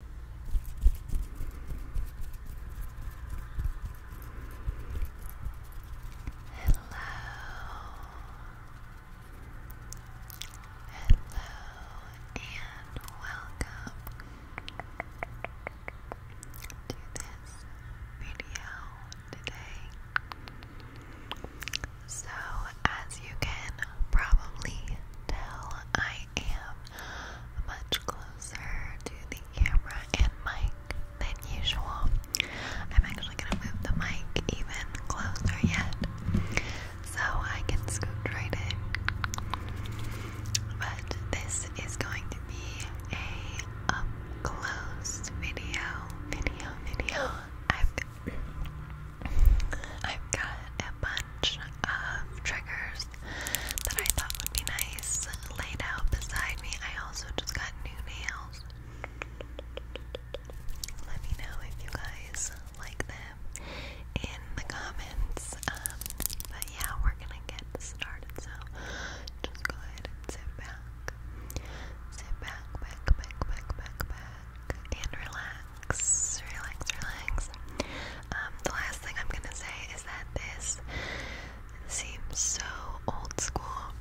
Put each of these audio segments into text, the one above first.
Hello. Hello and welcome to this video today. So, as you can probably tell, I I am much closer to the camera and mic than usual. I'm actually going to move the mic even closer yet so I can scoot right in. But this is going to be a up close video, video, video. I've got a bunch triggers that I thought would be nice laid out beside me. I also just got new nails. Let me know if you guys like them in the comments. Um, but yeah, we're gonna get started. So just go ahead and sit back. Sit back, back, back, back, back, and relax. Relax, relax. Um, the last thing I'm gonna say is that this seems so old school.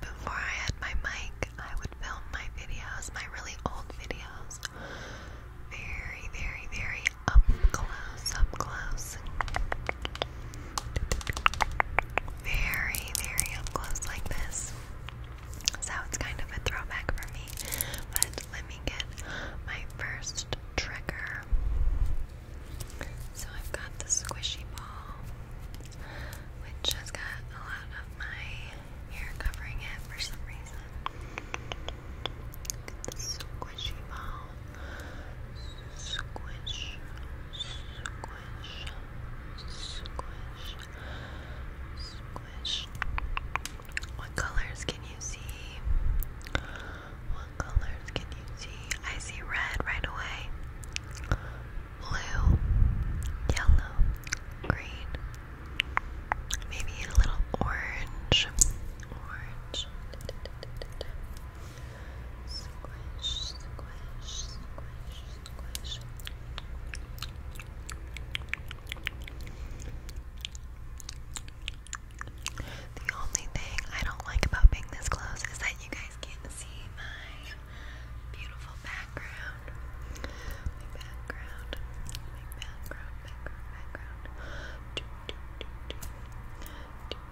Before I had my mic, I would film my videos, my really old videos, very, very, very up close, up close. Very, very up close like this. So it's kind of a throwback for me. But let me get my first trigger. So I've got the squishy ball, which has got a lot of my hair covering it for some reason. the squishy ball. Squish, squish, squish, squish. What colors can you see? What colors can you see? I see red right away. Blue, yellow, green, maybe a little orange. Orange. Squish, squish, squish, squish. The only thing I don't like about being this close is that you guys can't see my beautiful background. My background. My background, background,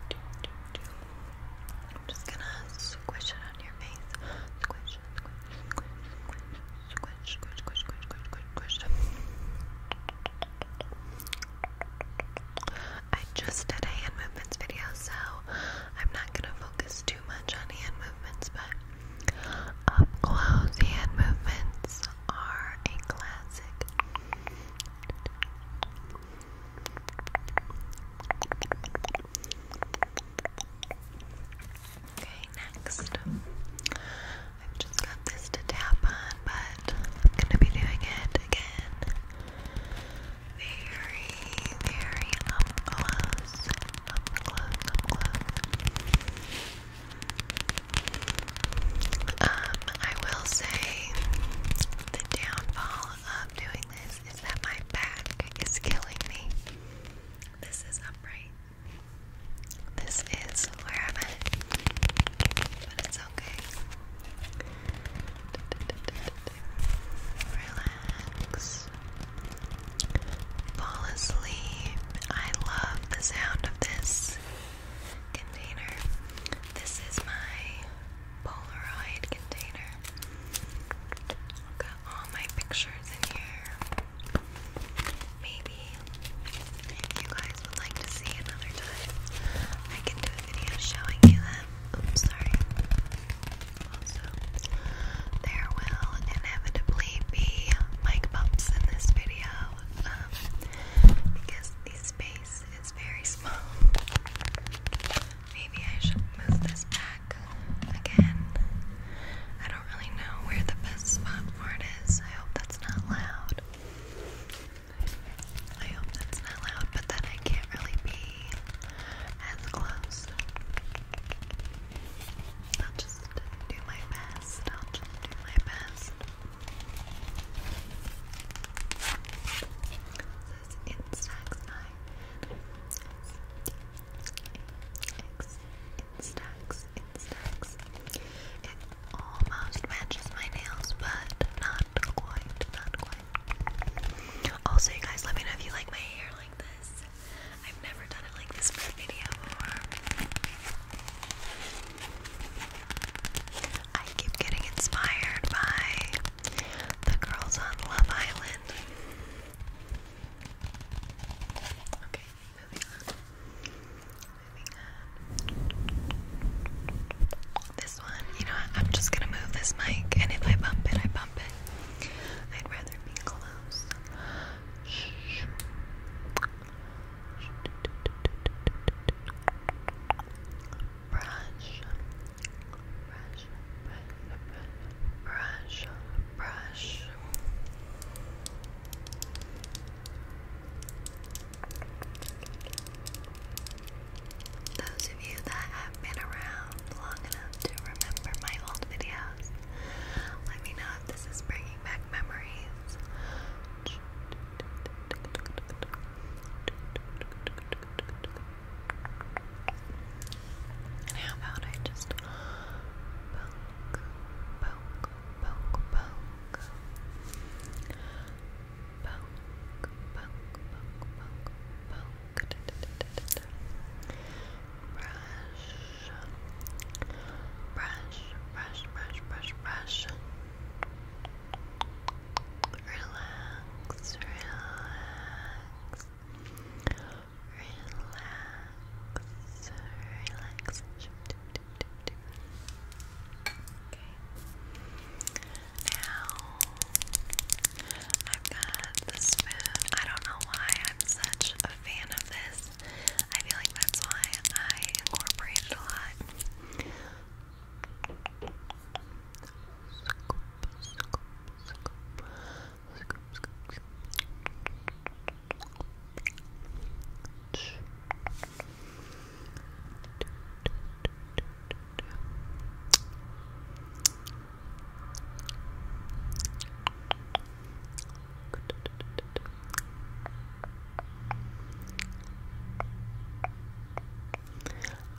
background. I'm just gonna squish it on your face. Squish, squish, squish, squish, squish, I just did a hand movements video, so I'm not gonna focus too much on hand movements, but up close hand movements are a classic. Okay, next. I've just got this to tap on, but I'm gonna be doing it again. Very, very close. Up close, up close. Um, I will say the downfall of doing this is that my back is killing me. This is upright, this is where I'm at, but it's okay. Relax. Fall asleep. I love the sound of this container. This is my Polaroid container. I've got all my pictures in here. Maybe if you guys would like to see another time, I can do a video showing you them. Oops, sorry. Also, there will inevitably be mic bumps in this video um, because the space is very small. Maybe I should move this back again don't really know where the best spot for it is. I hope that's not loud. I hope that's not loud, but then I can't really be as close. I'll just do my best. I'll just do my best. This is Instax Instax, Instax. It almost matches my nails, but not quite, not quite. Also, you guys, let me know if you like my hair like this. I've never done it like this for a video before. I keep getting inspired by the girls on Love Island. Okay, moving on. Moving on. This one, you know, what? I'm just gonna move this mic, and if I bump it, I bump it. I'd rather be close. Shh. Brush, brush, brush, brush, brush. Those of you that have been around long enough to remember my old videos, let me know if this is bringing back memories. And how about I just poke, poke. Poke, poke, poke, poke, poke. Da, da, da, da, da. Brush. Brush, brush, brush, brush, brush. Relax, relax. Relax, relax. Relax. Okay. Now I've got the I don't know why I'm such a fan of this. I feel like that's why I incorporate it a lot.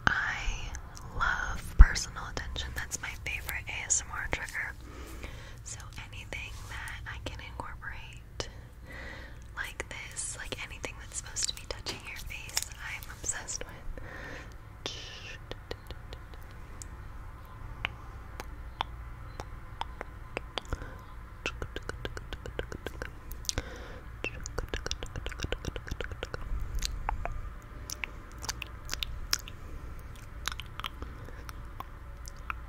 I love personal attention. That's my favorite ASMR trigger. So anything that I can incorporate like this, like anything that's supposed to be touching your face, I'm obsessed with. Up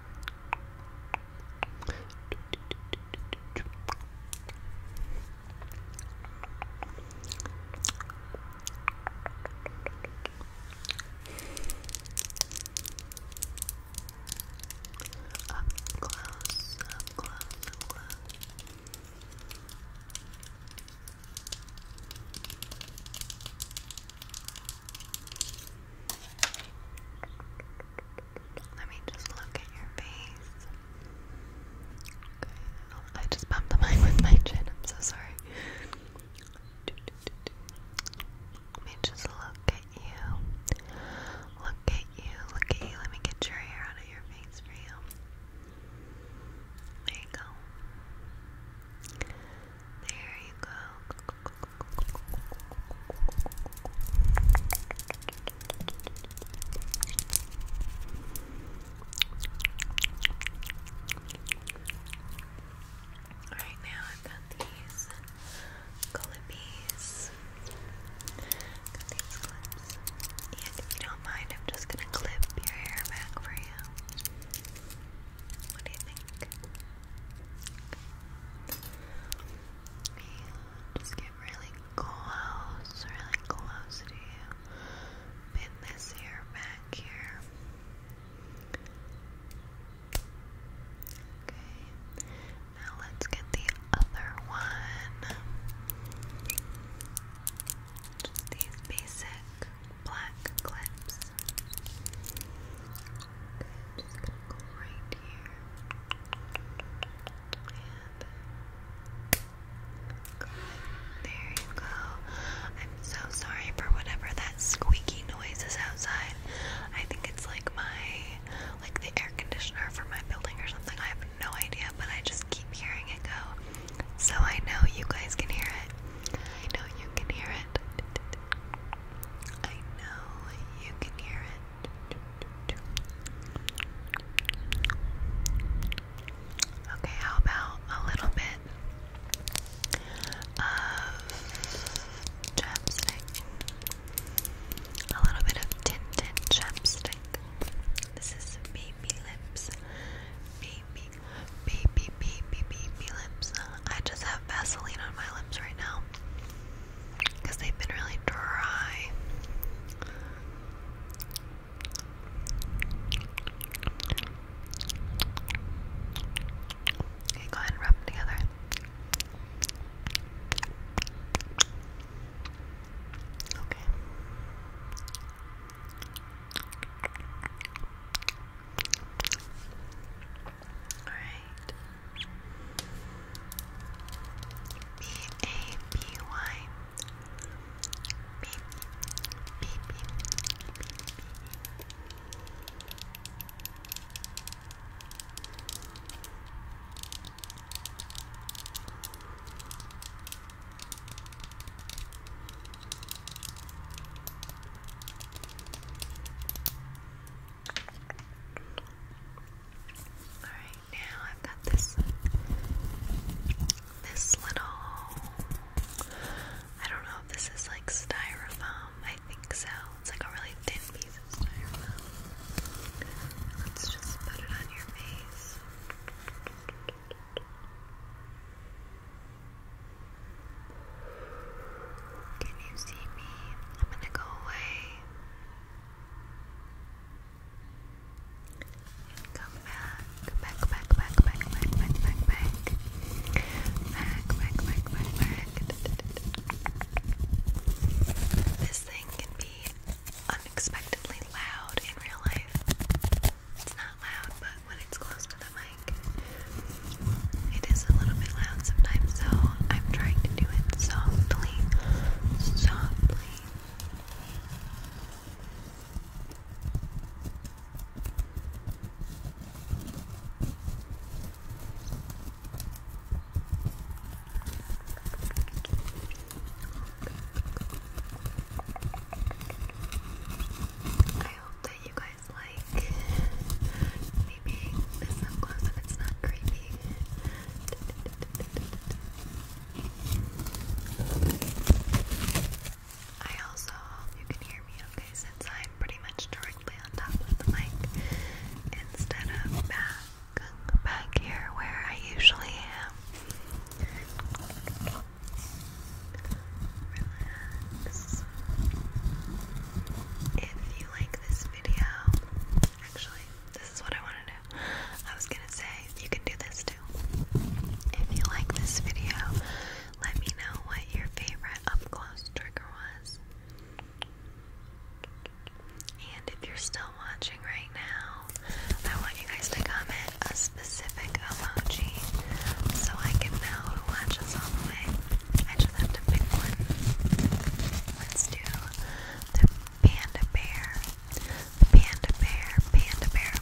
close, up close, up close. Let me just look at your face. I just bumped the mic with my chin. I'm so sorry. Let me just look at you. Look at you. Look at you. Let me get your hair out of your face for you. There you go. There you go. Right now, I've got these clippies. Got these clips. And if you don't mind, I'm just gonna clip your hair back for you. What do you think? And just get really close, really close to you. Pin this ear back here. Okay. Now let's get the other one. Just these basic black clips just gonna go right here. And uh, There you go. I'm so sorry for whatever that squeaky noise is outside. I think it's like my like the air conditioner for my building or something. I have no idea, but I just keep hearing it go. So I know you guys can hear it. I know you can hear it. I know you can hear it. Okay, how about a little bit of chapstick? A little bit of tinted chapstick. This is baby lips. Baby, baby, baby, baby lips. I just have Vaseline on my lips right now because they've been really dry. Okay, go ahead and rub them together. Okay. Alright. B A B Y. B B B B B. Alright, now I've got this this little I don't know if this is like styrofoam. I think so. It's like a really thin piece of styrofoam. Let's just put it on your face. Can you see me? I'm gonna go away come back, back, back, back, back, back, back, back, back, back, back, back, back. This thing can be unexpectedly loud in real life. It's not loud, but when it's close to the mic it is a little bit loud sometimes, so I'm trying to do it softly, softly. I that you guys like. Maybe this up close if it's not creepy. I also you can hear me okay since I'm pretty much directly on top of the mic instead of back back here where I usually am. Relax. If you like this video. Actually, this is what I want to I was gonna say you can do this too. If you like this video, let me know what your favorite up close trigger was. And if you're still watching right now, I want you guys to comment a specific emoji so I can know who watches all the way. I just have to pick one. Let's do the panda bear. Panda bear, panda bear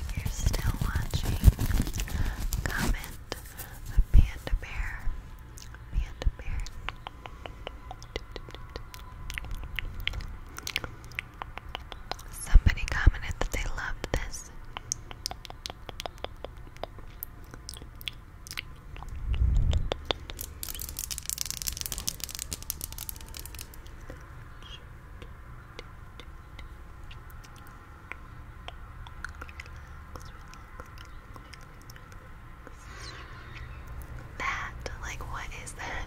If you're still watching, comment the panda bear. Panda bear. Somebody commented that they loved this. That, like, what is that?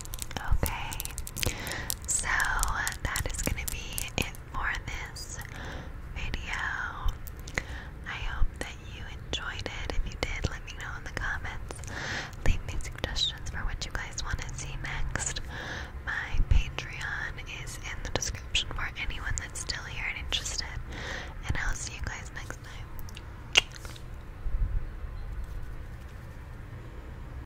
Okay, so that is going to be it for this video. I hope that you enjoyed it. If you did, let me know in the comments. Leave me suggestions for what you guys want to see next. My Patreon is in the description for anyone that's still here and interested. And I'll see you guys next time.